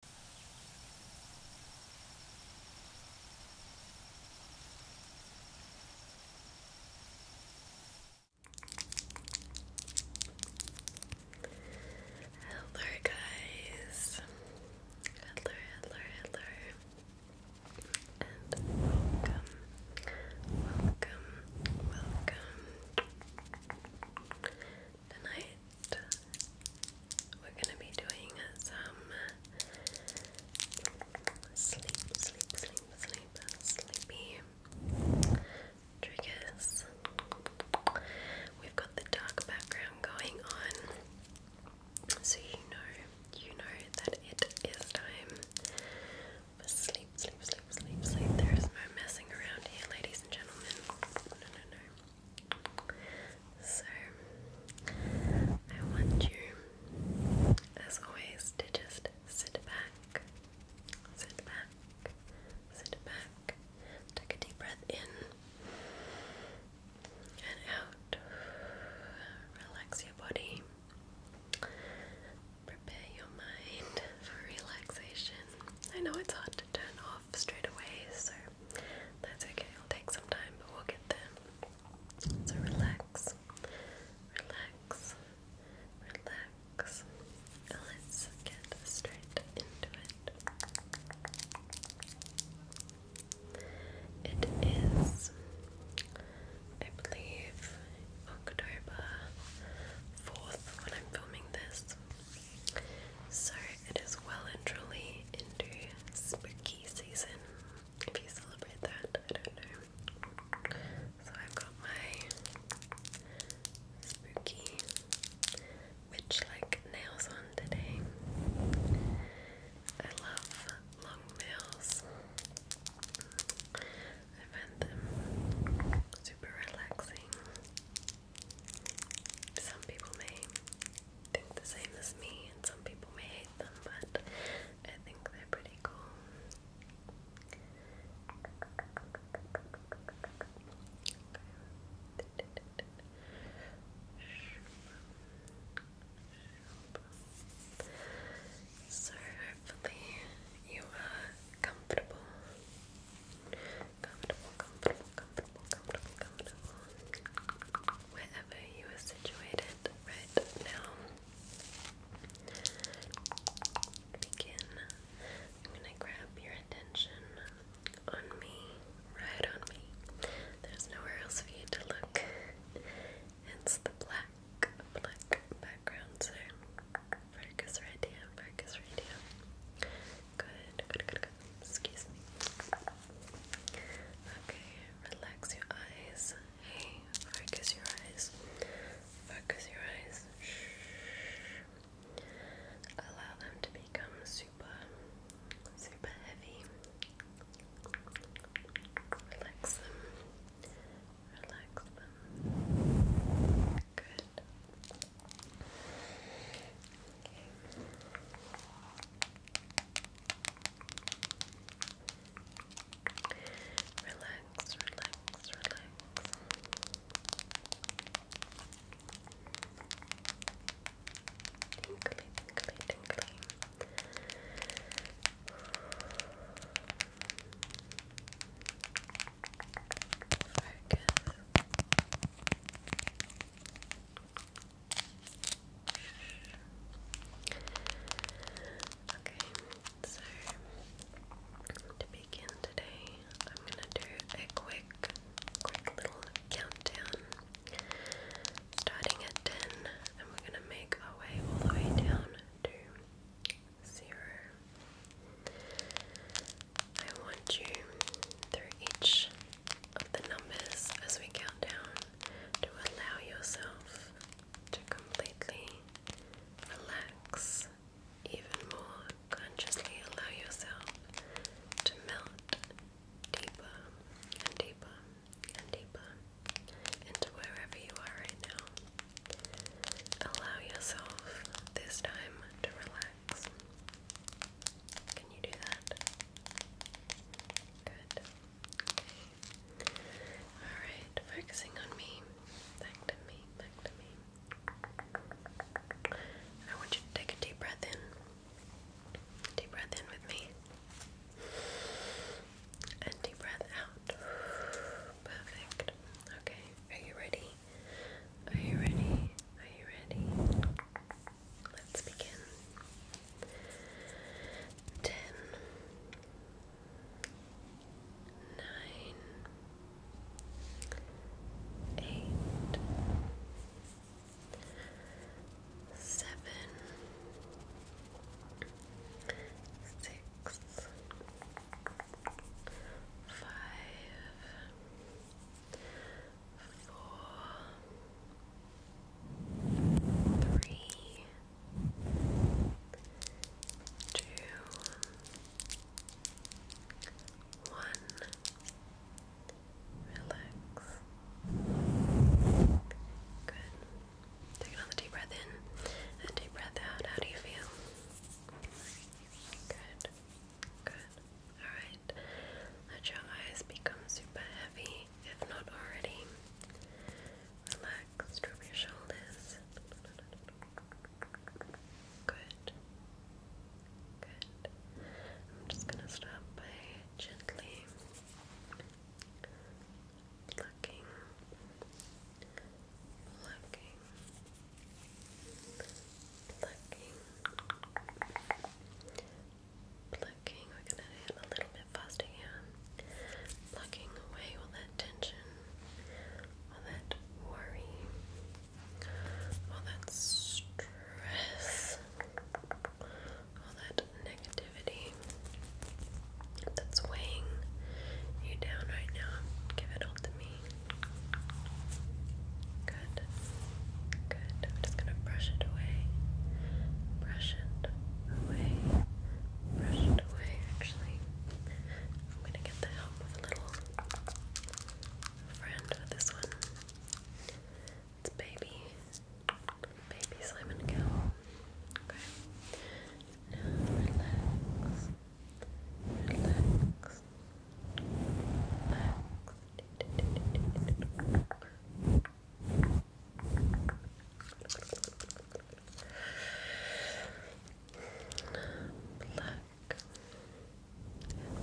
Hello, guys. Hello, hello, hello. welcome, welcome, welcome tonight we're gonna be doing some sleep, sleep, sleep, sleep, sleepy triggers. We've got the dark background going on, so you know, you know that it is time for sleep, sleep, sleep, sleep, sleep. There is no messing around here, ladies and gentlemen. No, no, no. So, I want you, as always, to just sit back, sit back, sit back, take a deep breath in and out, relax your body, prepare your mind for relaxation. I know it's hard to turn off off straight away, so that's okay. It'll take some time, but we'll get there. So relax, relax, relax. Let's get straight into it. It is, I believe, October 4th when I'm filming this. So it is well and truly into spooky season. If you celebrate that, I don't know. So I've got my spooky witch like nails on today. I love long nails. I find them super relaxing. Some people may think the same as me, and some people may hate them, but I think they're pretty cool. So, hopefully, you are comfortable comfortable, comfortable, comfortable, comfortable, comfortable wherever you are situated right now begin I'm gonna grab your attention on me, right on me there's nowhere else for you to look it's the black, black background so focus right focus right Good, good, good, good. Excuse me. Okay, relax your eyes. Hey, focus your eyes. Focus your eyes. Shh. Allow them to become super, super heavy. Relax them. Relax them. Good. Relax, relax, relax. Tinkly, tinkly, tinkly. Focus. Okay, so to begin today, I'm gonna do a quick, quick little countdown. Starting at 10, and we're gonna make our way all the way down to zero. I want you through each of the numbers as we count down to allow yourself to completely relax, even more consciously allow yourself to melt deeper and deeper and deeper into wherever you are right now. Allow yourself this time to relax. Can you do that? Good. Alright, focusing on me. Back to me, back to me. I want you to take a deep breath in. Deep breath in with me. And deep breath out. Perfect. Okay, are you ready? Are you ready? Are you ready? Let's begin. Ten, nine, eight, seven, six, five four, three, two, one. Relax. Good. Take another deep breath in and deep breath out. How do you feel? Good. Good. Alright, let your eyes become super heavy, if not already. Relax, drop your shoulders. Good. Good. I'm just gonna start by gently Looking. plucking, plucking, Plucking, we're gonna hit a little bit faster here. Plucking away all that tension, all that worry, all that stress, all that negativity that's weighing you down right now. Give it all to me. Good. Good. I'm just gonna brush it away. Brush it away. Brush it away, actually. I'm gonna get the help of a little friend with this one. It's baby. Baby Simon Cowell. Okay. Relax. Relax. Relax brush,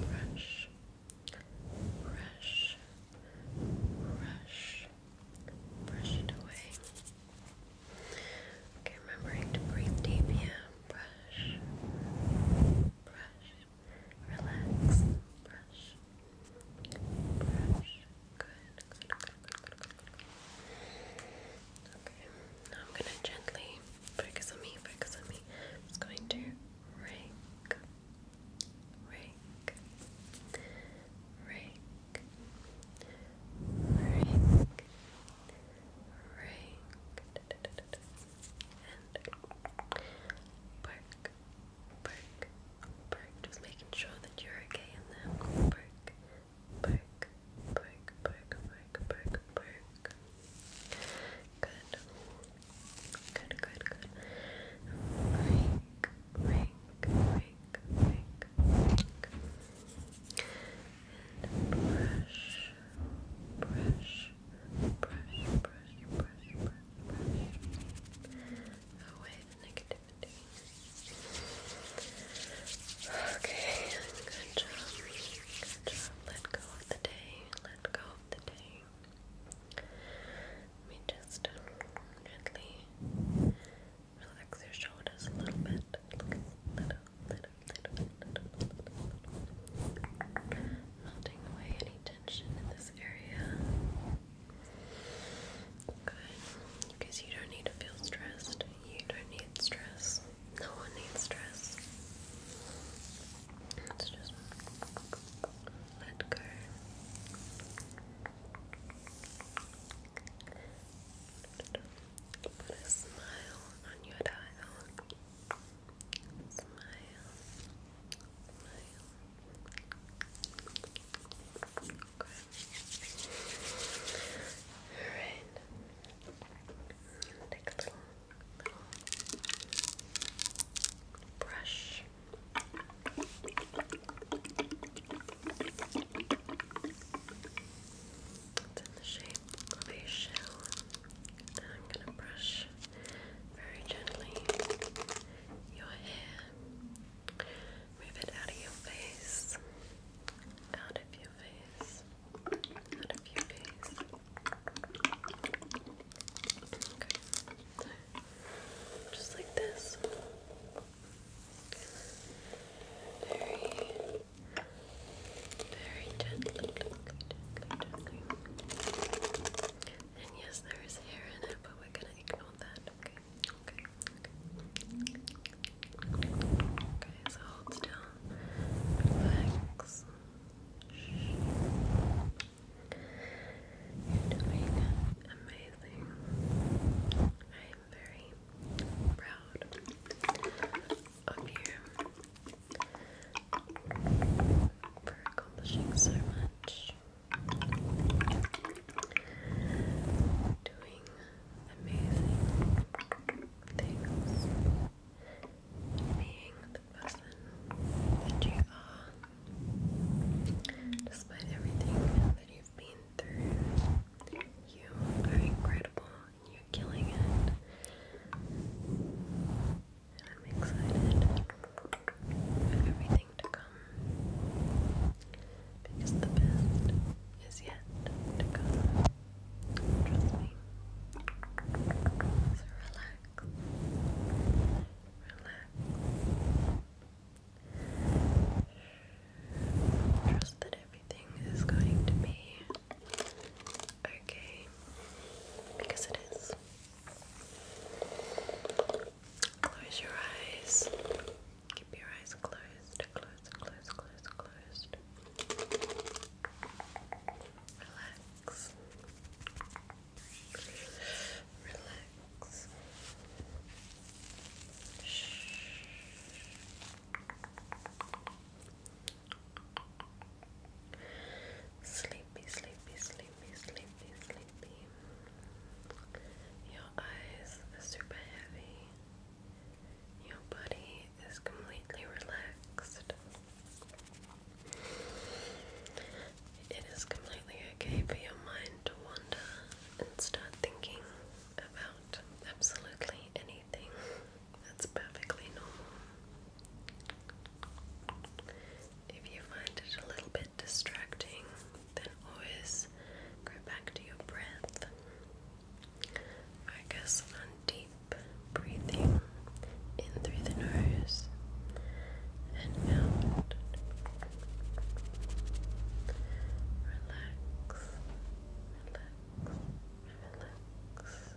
brush, brush, brush it away. Okay, remembering to breathe deep Brush, brush Relax. Brush. Brush. Good. Good. Good. Good. Good. Good. Okay. Now I'm gonna gently focus on me. Focus on me. i going to rake. Rake. Rake. Rake. Rake. And. Bark, perk, perk, Just making sure that you're okay in there. Perk, perk, perk, perk, perk, perk, perk. Good. Good, good, good. Rink, rink, rink, rink, rink. And brush, brush, brush, brush, brush, brush, brush away the negativity. Okay, good job. Good job. Let go of the day. Let go of the day. Let me just gently relax your shoulders a little bit. Little, little, little, little, little, little, Melting away any tension in this area. Good. Because you don't need to feel stressed. You don't need stress. No one needs stress. Let's just let go. Put a smile on your dial. Smile. Smile. All right. brush. in the shape of a shell. I'm gonna brush very gently your hair Move it out of your face. Out of your face. Out of your face. Okay. Just like this. Very, very gently, And yes, there is hair in it, but we're gonna ignore that, okay? Okay. Okay, so hold still. Relax. You're doing amazing. I'm very proud of you for accomplishing so much doing amazing things, being the person that you are, despite everything that you've been through. You are incredible and you're killing it. And I'm excited and everything to come. Because the best is yet to come. Trust me. So relax. Relax. Trust that everything is going to be okay. Because it is. Close your eyes. Keep your eyes closed, closed, closed, closed, closed. Relax. Relax. Shh. Sleepy, sleepy, sleepy sleepy, sleepy, sleepy. Your eyes are super heavy. Your body is completely relaxed. It is completely okay for your mind to wander and start thinking about absolutely anything. That's perfectly normal. If you find it a little bit distracting, then always go back to your breath. Focus on deep breathing in through the nose and out. Relax, relax, relax.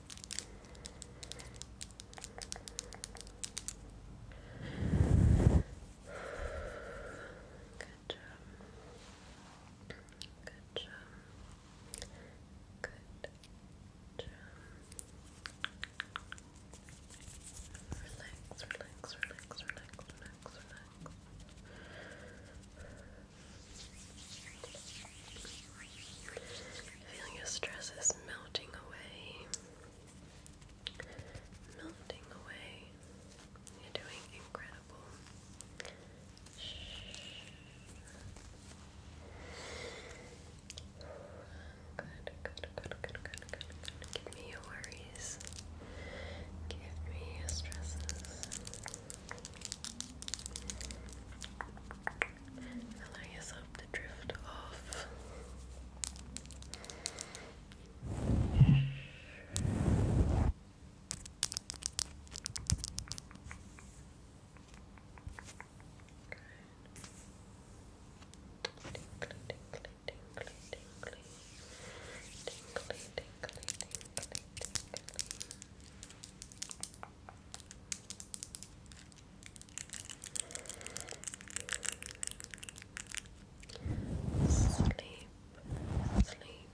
Good job. Good job. Good job. Relax, relax, relax, relax, relax, relax. Feeling your stress is melting away. Melting away. You're doing incredible. Good, good, good, good, good, good, Give me your worries. Give me your stresses. Allow yourself to drift off sleep, sleep, sleep,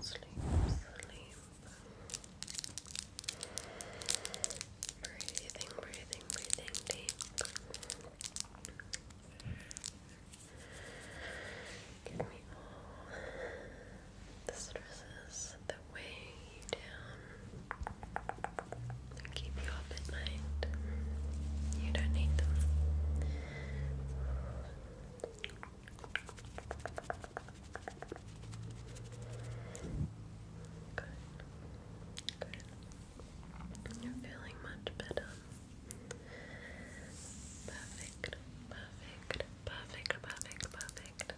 sleep, sleep. Breathing, breathing, breathing deep. Give me all this stresses the weigh you down and keep you up at night. You don't need them. Good. Good. You're feeling much better. Perfect. Perfect. Perfect. Perfect. Perfect.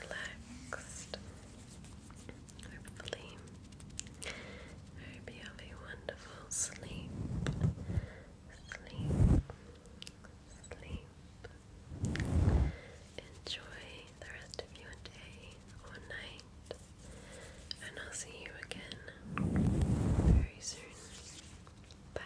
relaxed. Hopefully, hope you have a wonderful sleep. Sleep, sleep. Enjoy the rest of your day or night, and I'll see you again very soon. Bye.